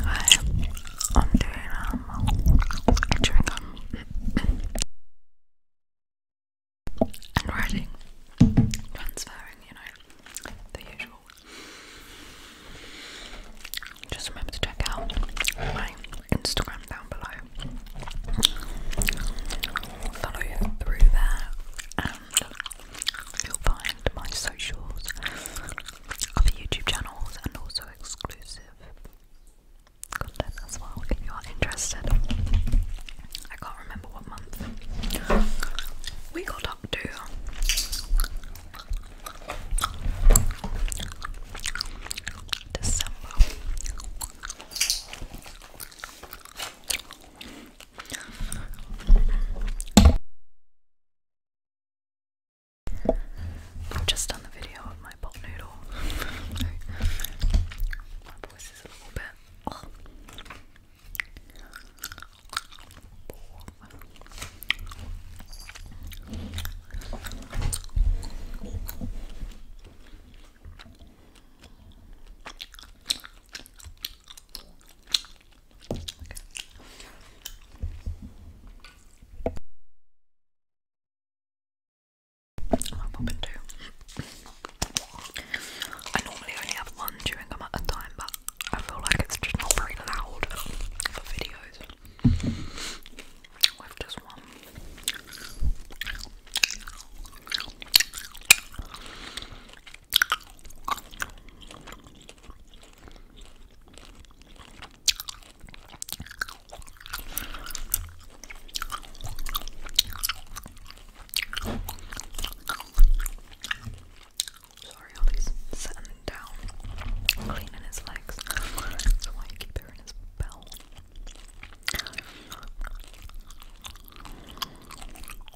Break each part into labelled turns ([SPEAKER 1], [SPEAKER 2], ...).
[SPEAKER 1] Hi, I'm doing um chewing gum and writing, transferring, you know, the usual. Just remember to check out my Instagram down below. Follow you through there you'll find my socials, other YouTube channels, and also exclusive content as well if you are interested. I can't remember what month we got up to. December. I've just done the video of my pot noodle. my voice is a little bit i normally only have one chewing gum at a time, but I feel like it's just not very loud for videos with just one. Sorry, Ollie's sitting down, cleaning his legs. That's why you keep hearing his bell.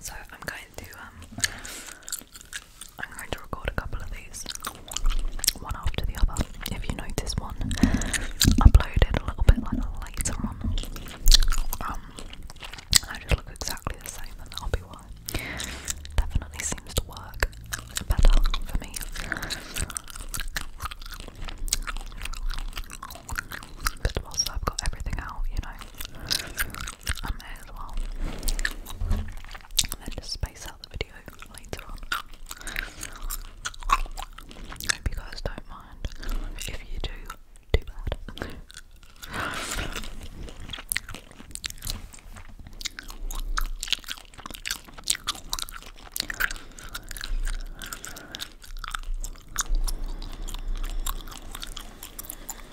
[SPEAKER 1] So I'm going to um I'm going to record a couple of these one after the other. If you notice one uploaded a little bit later on. Um I just look exactly the same and that'll be Definitely seems to work better for me. Because whilst I've got everything out, you know, I am as well. And then just space out the video later on. Hope you guys don't mind. If you do, too bad.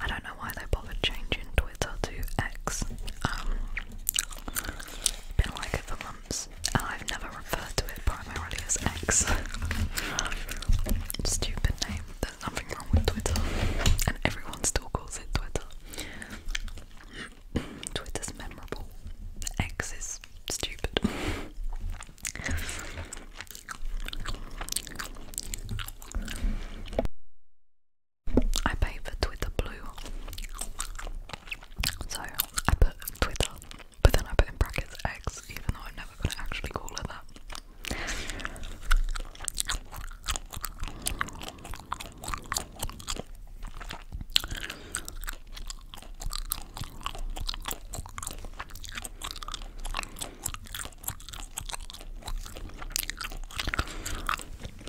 [SPEAKER 1] I don't know why they bothered changing Twitter to X. Um, been like it for months, and I've never referred to it primarily as X. Stupid name. There's nothing wrong with Twitter, and everyone still calls it Twitter. Twitter's memorable. X is stupid. I pay for Twitter Blue. So I put Twitter, but then I put in brackets X, even though I'm never actually call it that.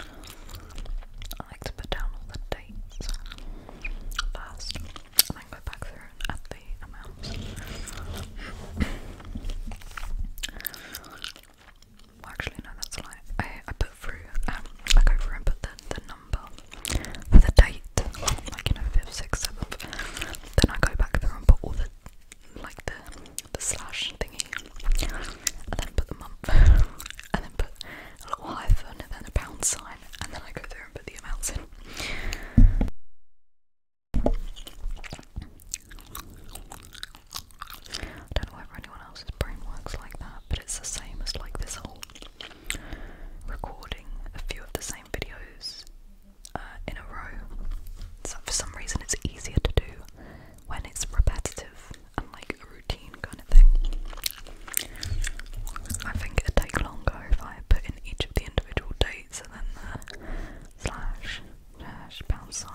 [SPEAKER 1] I like to put down all the dates first and then go back through and add the amounts. actually, no, that's a lie. I, put through, um, I go through and put the, the number for the date, like you know, 5th, 6th, 7th. Then I go back through and put all the like the the slash thingy, and then put the month, and then put a little hyphen, and then a pound sign, and then I go through and put the amounts in. I don't know whether anyone else's brain works like that, but it's the same as like this whole recording a few of the same videos uh, in a row. So for some reason, it's easier to do when it's repetitive unlike a routine kind of thing. I think it'd take longer if I put in each of the individual dates and then the slash pound sign.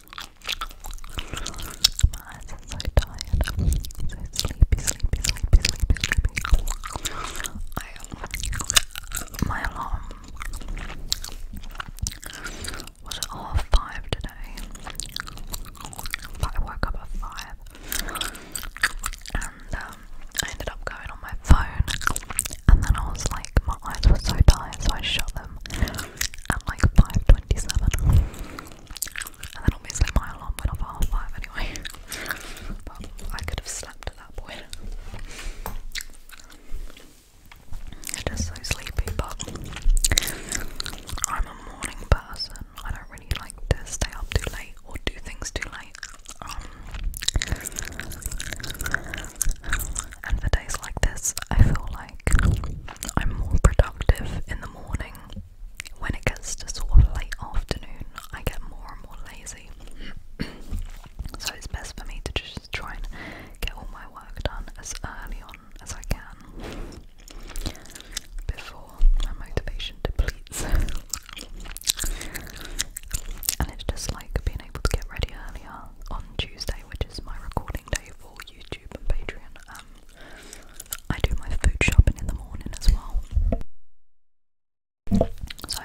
[SPEAKER 1] My eyes are so tired. So sleepy, sleepy, sleepy, sleepy, sleepy. my alarm was at half five today. But I woke up at five. And um, I ended up going on my phone. And then I was like, my eyes were so tired, so I shut them at like 5.27 and then obviously my alarm went off at 5 anyway but I could have slept at that point I'm just so sleepy but I'm a morning person I don't really like to stay up too late or do things too late um, and for days like this I feel like I'm more productive in the morning. When it gets to sort of late afternoon, I get more and more lazy. so it's best for me to just try and get all my work done as early on as I can before my motivation depletes. and it's just like being able to get ready earlier on Tuesday, which is my recording day for YouTube and Patreon. Um, I do my food shopping in the morning as well. So,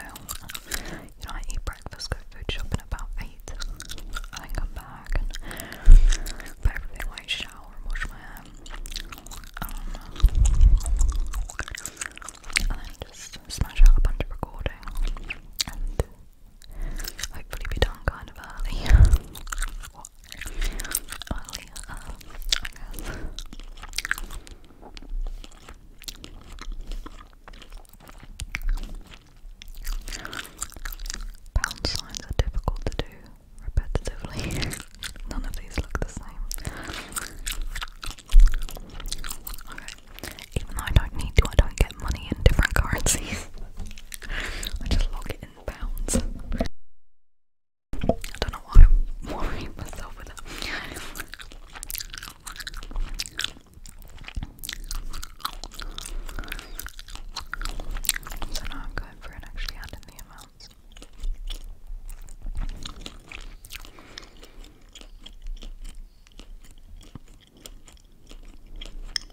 [SPEAKER 1] I eat breakfast, go food shopping about 8, then come back put everything away, shower and wash my hair. Um, and then just smash out a bunch of recording and hopefully be done kind of early. I guess. Pound signs are difficult to do repetitively. None of these look the same. Even though I don't need to, I don't get money in different currencies. I just log it in I don't know why I'm worrying myself with that. So now I'm going for it actually adding the amounts.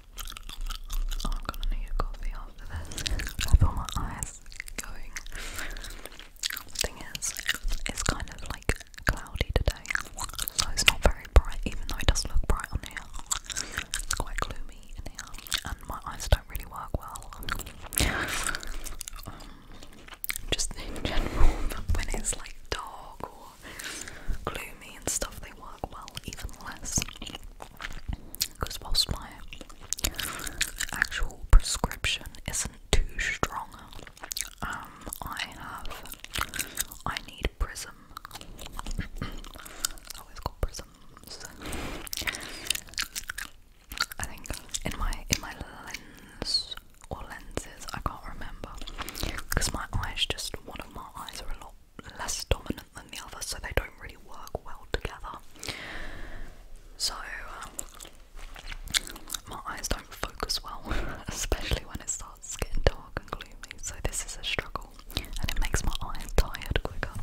[SPEAKER 1] I'm gonna need a coffee after this. I feel my eyes going. The thing is, it's kind of like cloudy today, so it's not very bright, even though it does look bright on here. It's quite gloomy in here, and my eyes don't really work well. Um, just in general, when it's like dark gloomy and stuff, they work well even less. Because whilst my actual prescription isn't too strong, um, I have I need Prism. I always call Prisms. I think in my in my lens or lenses, I can't remember because my eyes just one of my eyes are a lot less dominant than the other, so they don't really work well together. So um, my eyes don't focus well, especially when it starts getting dark and gloomy. So this is a struggle, and it makes my eyes tired quicker,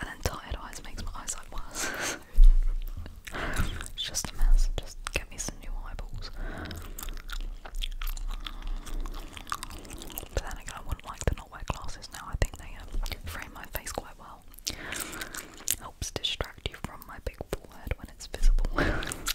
[SPEAKER 1] and then tired eyes makes my eyesight worse. it's just a mess. Just get me some new eyeballs. But then again, I wouldn't like to not wear glasses now. I think they um, frame my face quite well. Helps distract you from my big forehead when it's visible.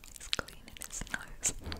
[SPEAKER 1] he's cleaning his nose. his paw, so cute.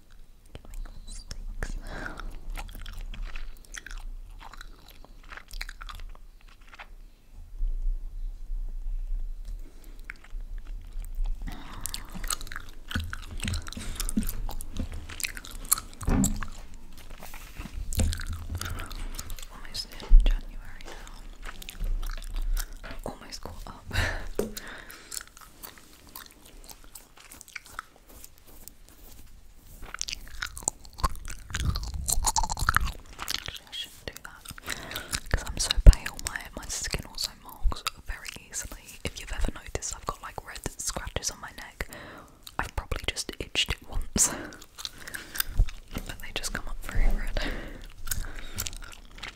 [SPEAKER 1] can make Almost in January now. Almost caught up. I because I'm so pale. My my skin also marks very easily. If you've ever noticed, I've got like red scratches on my neck. I've probably just itched it once, but they just come up very red.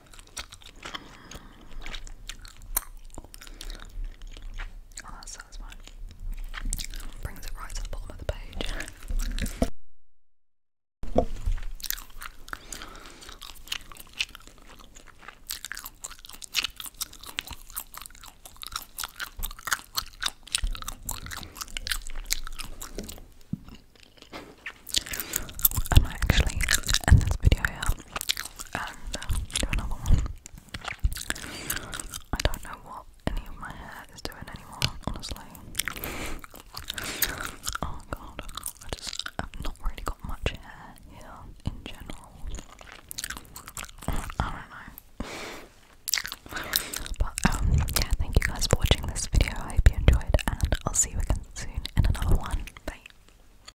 [SPEAKER 1] Oh, that's Brings it right to the bottom of the page. I might actually end this video here do another uh, one. I don't know what any of my hair is doing anymore, honestly. Oh god, I just not really got much hair here in general. I don't know. But um, yeah, thank you guys for watching this video. I hope you enjoyed, and I'll see you again soon in another one. Bye.